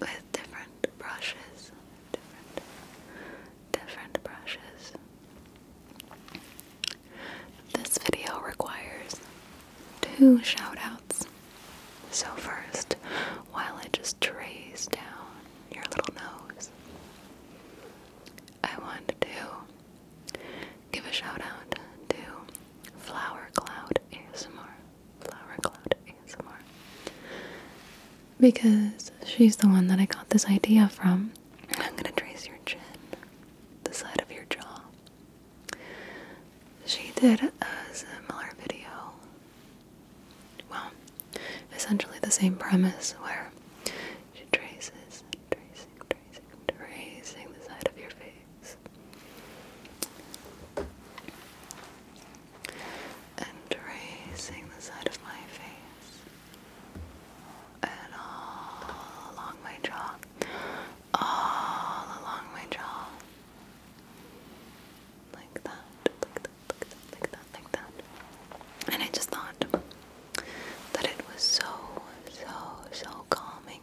with different brushes, different, different brushes. This video requires two shoutouts. So first, while I just trace down your little nose, I want to give a shout out to Flower Cloud ASMR. Flower Cloud ASMR because she's the one that I got this idea from. I'm gonna trace your chin, the side of your jaw. She did a similar video. Well, essentially the same premise where she traces, tracing, tracing, tracing the side of your face and tracing the side of my face and all along my jaw, all along my jaw, like that, like that, like that, like that, like that. And I just thought that it was so, so, so calming.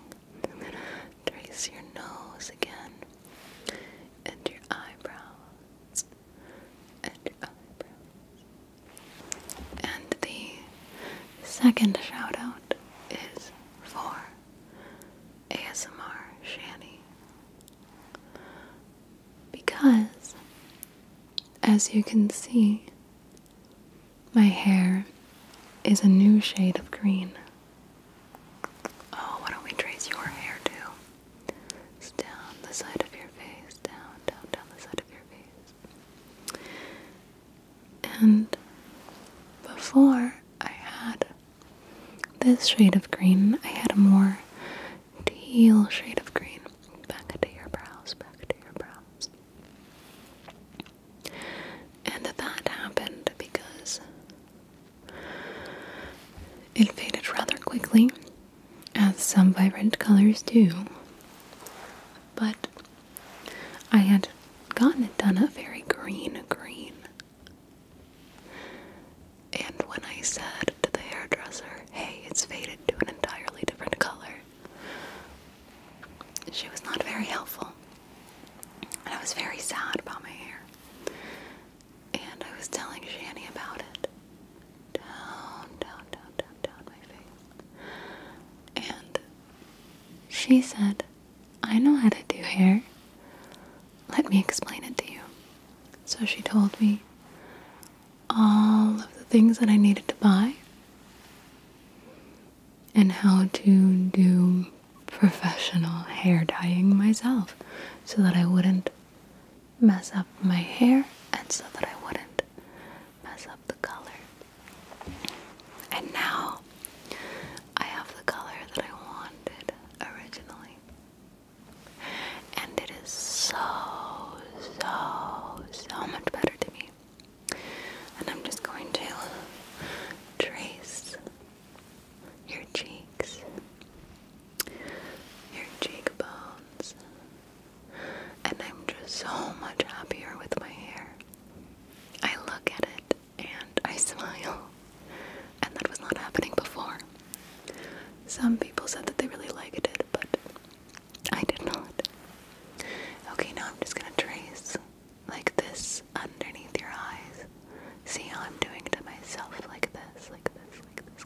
Trace your nose again and your eyebrows uh, and the second shout out is for ASMR Shani. Because, as you can see, my hair is a new shade of green. Oh, why don't we trace your hair too? down the side of your face, down, down, down the side of your face. And before I had this shade of green, I had a more teal shade of green. Back to your brows, back to your brows. And that happened because it faded rather quickly, as some vibrant colors do, but I had gotten it done a very green green. And when I said to the hairdresser, hey, it's faded to an entirely different color, she was not very helpful. And I was very sad about my hair. And I was telling Shani about it. Down, down, down, down, down my face. And she said, I know how to do hair. Let me explain it to you. So she told me all of the things that I needed to buy and how to do professional hair dyeing myself so that I wouldn't mess up my hair and so that I wouldn't mess up the color. And now I have the color that I wanted originally. And it is so, so, so much better to me. And I'm just going to trace your cheeks your cheekbones. And I'm just so much happier with my hair. I look at it and I smile. And that was not happening before. Some people said that they really liked it, but I did not. Okay, now I'm just gonna trace like this underneath your eyes. See how I'm doing to myself like this, like this, like this,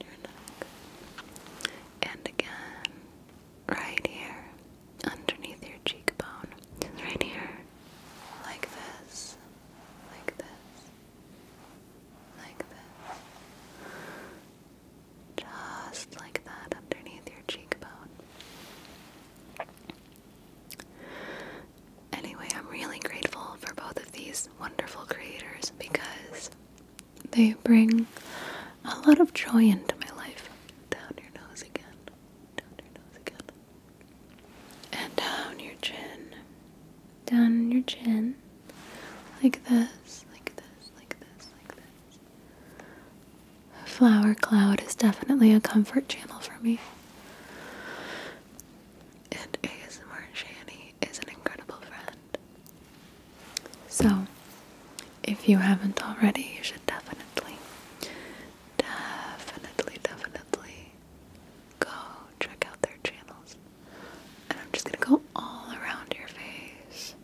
your neck. And again, right here, underneath your cheekbone. Right here. Like this. Like this. Like this. Just like that underneath your cheekbone. Anyway, I'm really grateful for both these wonderful creators because they bring a lot of joy into my life. Down your nose again, down your nose again, and down your chin, down your chin, like this, like this, like this, like this. A flower cloud is definitely a comfort channel for me. And ASMR Shanny she is an incredible friend. So, if you haven't already, you should definitely, definitely, definitely go check out their channels. And I'm just gonna go all around your face,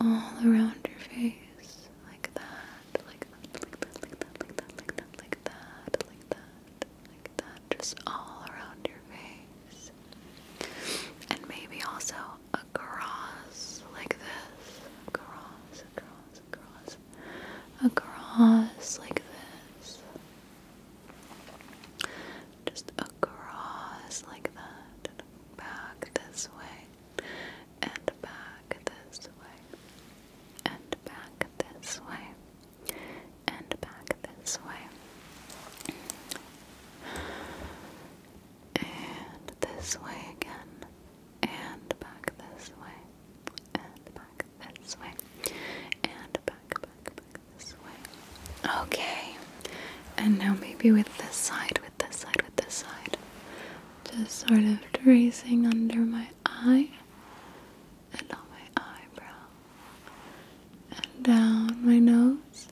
all around your face, like that, like that, like that, like that, like that, like that, like that, like that like that, just all around your face. And maybe also across, like this. Across, across, across. Across, like this. Just across, like that. back this way. And back this way. And back this way and back this way. And this way again. And back this way. And back this way. And back, back, back this way. Okay. And now maybe with this side, with this side, with this side. Just sort of tracing under my eye and on my eyebrow, and down my nose,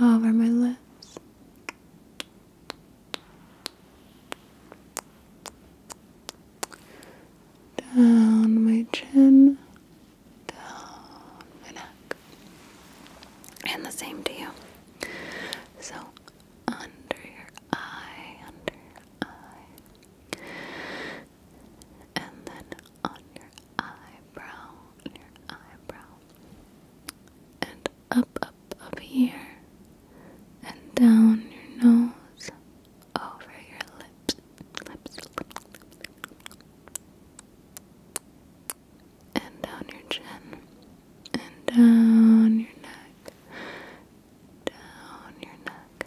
over my lips. Down my chin, down my neck, and the same to you. So, under your eye, under your eye, and then on your eyebrow, your eyebrow, and up, up, up here, and down your nose, over your lips, lips, lips, lips. and down your chin, and down your neck, down your neck.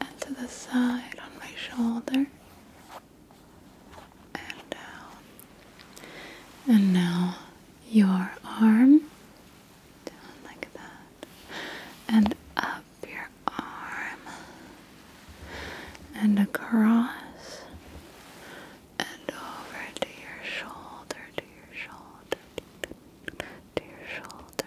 and to the side on my shoulder and down. And now your arm down like that and up your arm and across and over to your shoulder, to your shoulder, to your shoulder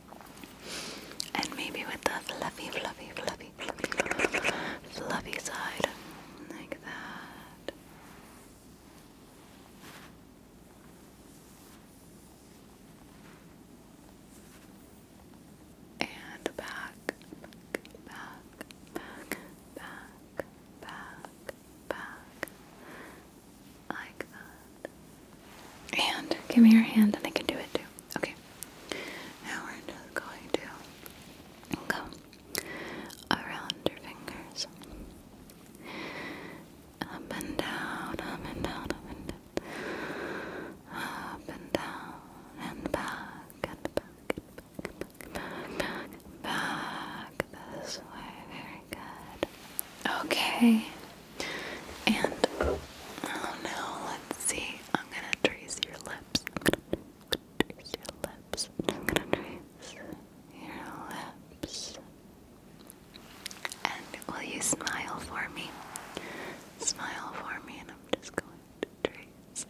And maybe with the fluffy, fluffy, fluffy, fluffy, fluffy side, like that. And back, back, back, back, back, back, like that. And give me your hand, and I can do it too. Okay. Now we're just going to come around your fingers. Up and down, up and down, up and down. Up and down and back and back, back this way. Very good. Okay. And Oh no, let's see. I'm gonna trace your lips. I'm gonna trace your lips. I'm gonna trace your lips. And will you smile for me? Smile for me, and I'm just going to trace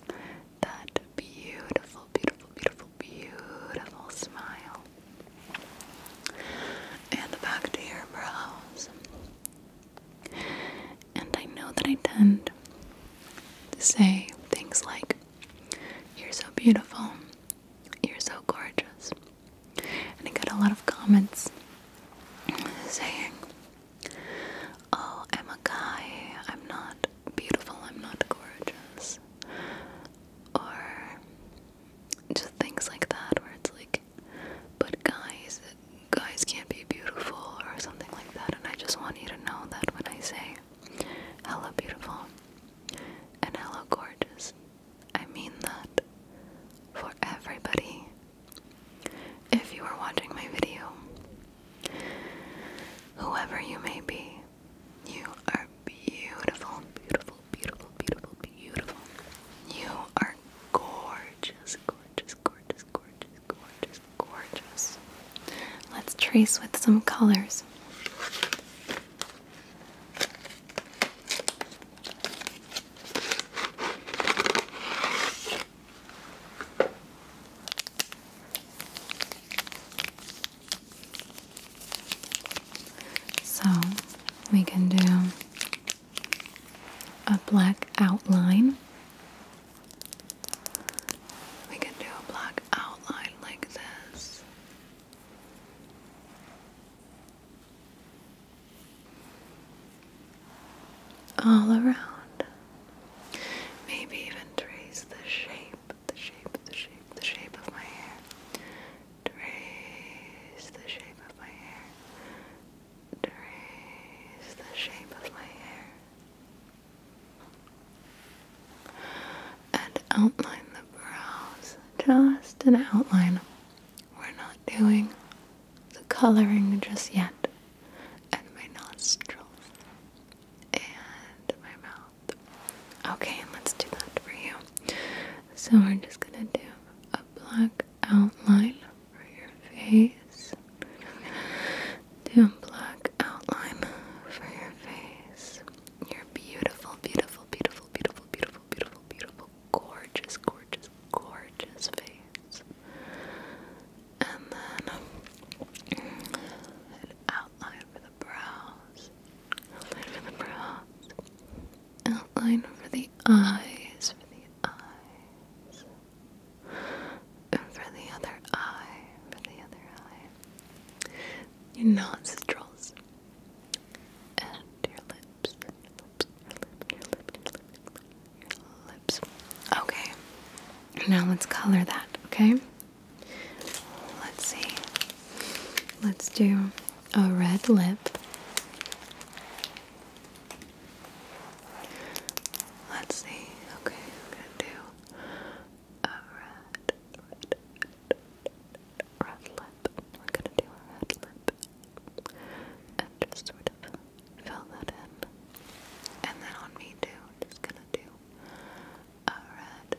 that beautiful, beautiful, beautiful, beautiful smile. And back to your brows. And I know that I tend to say things like, You're so beautiful, you're so gorgeous. And I get a lot of comments saying, Oh, I'm a guy, I'm not beautiful, I'm not gorgeous. Or just things like that, where it's like, but guys, guys can't be beautiful or something like that. And I just want you to know that when I say hello beautiful and hello gorgeous, I mean that for everybody. If you are watching my video, whoever you may be, you are beautiful, beautiful, beautiful, beautiful, beautiful. You are gorgeous, gorgeous, gorgeous, gorgeous gorgeous, gorgeous, Let's trace with some colors. So we can do a black outline. We can do a black outline like this. All around. Maybe even trace the shape, the shape, the shape, the shape of my hair. Trace the shape of my hair trace the shape of my hair and outline the brows. Just an outline. We're not doing the coloring just yet. And my nostrils. And my mouth. Okay, let's do that for you. So we're just gonna do a black outline over your face. Do black outline for your face. Your beautiful, beautiful, beautiful, beautiful, beautiful, beautiful, beautiful, gorgeous, gorgeous, gorgeous face. And then outline for the brows. Outline for the brows. Outline for the eyes. For the eyes. And for the other eye, for the other eye, your nostrils and your lips, your lips, your lips, Okay, now let's color that, okay? Let's see. Let's do a red lip. Let's see. Okay, I'm gonna do a red, red, red, lip. We're gonna do a red lip and just sort of fill that in. And then on me too, just gonna do a red,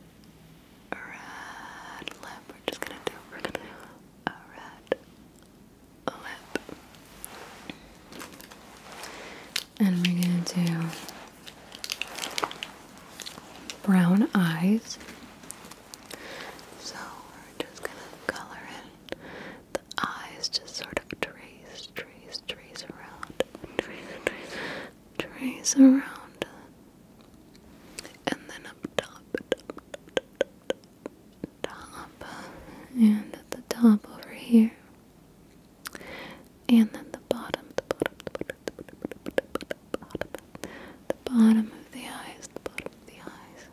red lip. We're just gonna do a red, lip. And we're going to do brown eyes. So we're just going to color in the eyes, just sort of trace, trace, trace around, trace, trace, trace around. And then up top, top and at the top over here and then the bottom the bottom the bottom bottom of the eyes the bottom of the eyes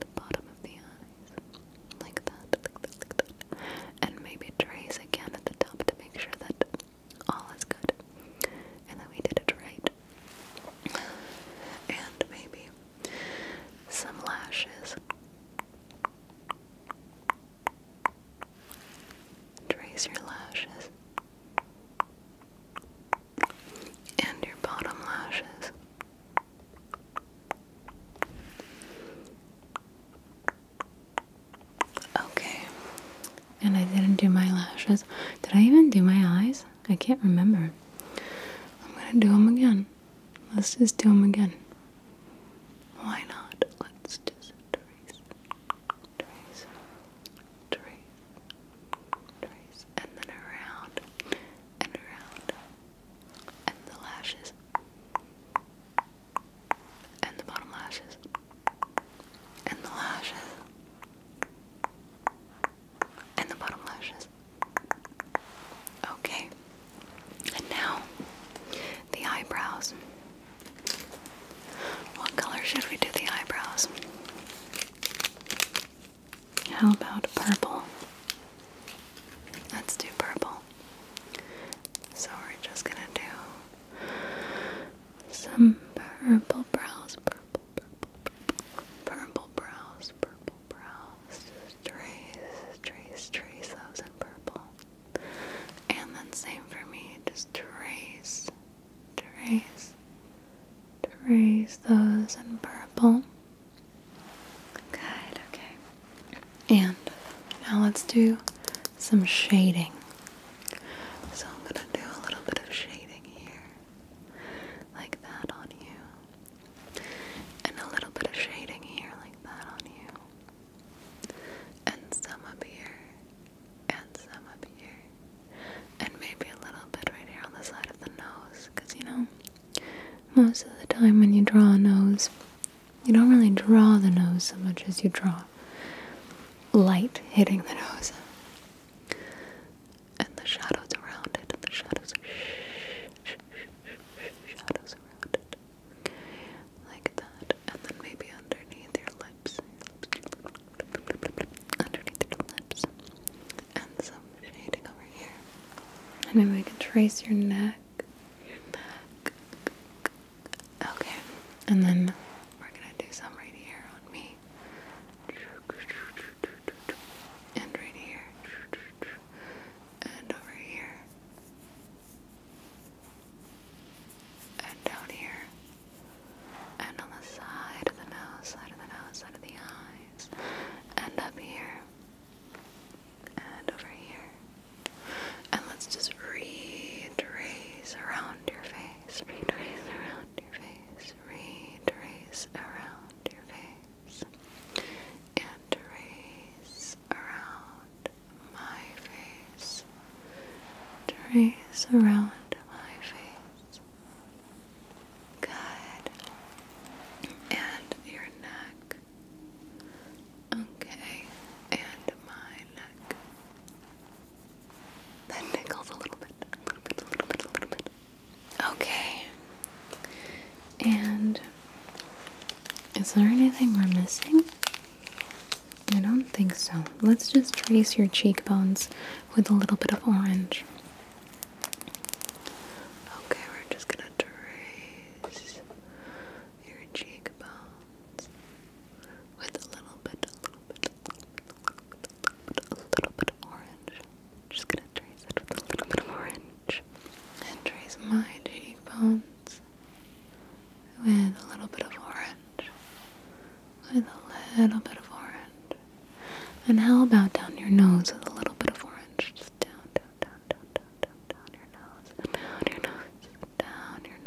the bottom of the eyes like that like that like that and maybe trace again at the top to make sure that all is good and that we did it right and maybe some lashes. Trace your lashes and your bottom lashes. Okay, and I didn't do my lashes. Did I even do my eyes? I can't remember. I'm gonna do them again. Let's just do them again. Why not? Let's just trace, trace, trace, trace, and then around and around, and the lashes, and the bottom lashes, and the lashes, and the bottom lashes. Okay. And now the eyebrows. What color should we do the eyebrows? How about purple? Let's do purple. So we're just gonna do some purple brows, purple, purple, purple, purple brows, purple, brows, trace, trace, trace those in purple. And then same for me, just trace, trace, trace those in purple. Good, okay. And now let's do some shading. So I'm gonna do a little bit of shading here, like that on you and a little bit of shading here like that on you and some up here and some up here and maybe a little bit right here on the side of the nose because you know most of the time when you draw a nose you don't really draw the nose so much as you draw light hitting the nose and the shadows around it and the shadows shadows around it. Like that. And then maybe underneath your lips. Underneath your lips. And some shading over here. And then we can trace your neck. Your neck. Okay. And then we're gonna do some right here on me. And right here and over here, and down here, and on the side of the nose, side of the nose, side of the eyes, and up here, and over here. And let's just retrace around your face, retrace around your face, retrace around your face and trace around my face. Trace around my face. Good. And your neck. Okay. And my neck. That nickels a little bit. A little bit, a little bit, a little bit. Okay. And is there anything we're missing? I don't think so. Let's just trace your cheekbones with a little bit of orange. Okay, we're just gonna trace your cheekbones with a little bit, a little bit, a little bit, of orange. Just gonna trace it with a little bit of orange cheekbones and trace my cheekbones with a little bit of orange. With a little bit of orange. And how about down your nose with a little bit of orange? Just down, down, down, down, down, down, down your nose, down your nose, down your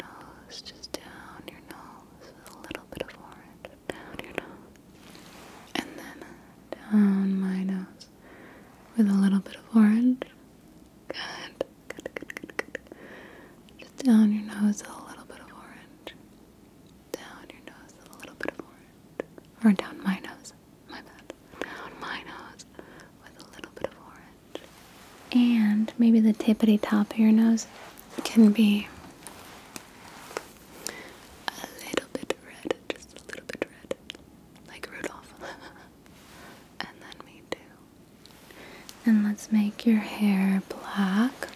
nose, just down your nose with a little bit of orange, down your nose. And then down my nose with a little bit of orange. Good, Just down your nose a little bit of orange. Down your nose with a little bit of orange. Or down my nose. My bad. Down my nose with a little bit of orange. And maybe the tippity top of your nose can be a little bit red. Just a little bit red like Rudolph. and then me too. And let's make your hair black.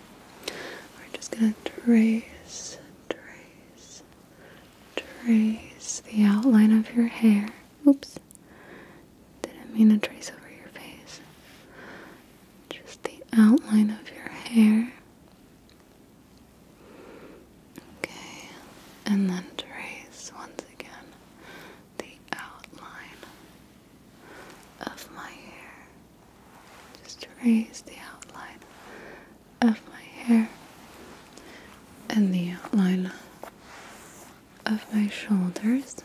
We're just gonna trace, trace, trace the outline of your hair. Oops. Didn't mean to trace over your face. Just the outline of your hair. Okay, and then trace once again the outline of my hair. Just trace the outline of my hair and the outline of my shoulders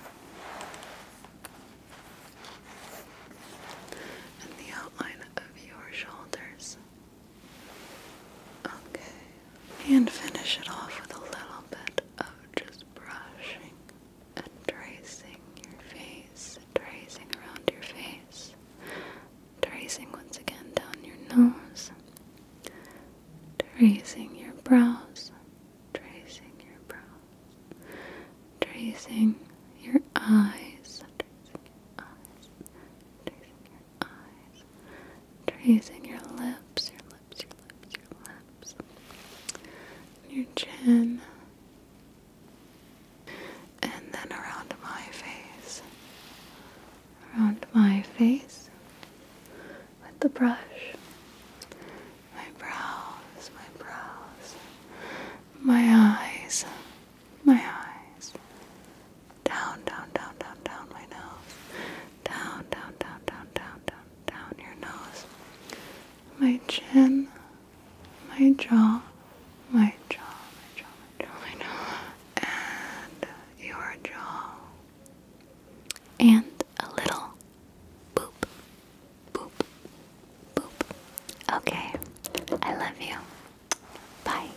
and the outline of your shoulders. Okay, and finish it off with a little bit of just brushing and tracing your face, tracing around your face, tracing once again down your nose, tracing your brows, tracing your brows, tracing your eyes, tracing your eyes tracing your eyes, tracing your lips, your lips, your lips, your lips, your chin, and then around my face, around my face with the brush. My brows, my brows, my eyes, my eyes, down, down, down, down, down my nose, down, down, down, down, down, down, down your nose, my chin, my jaw, my jaw, my jaw, my jaw, and your jaw, and a little boop, boop, boop. Okay, I love you. Bye.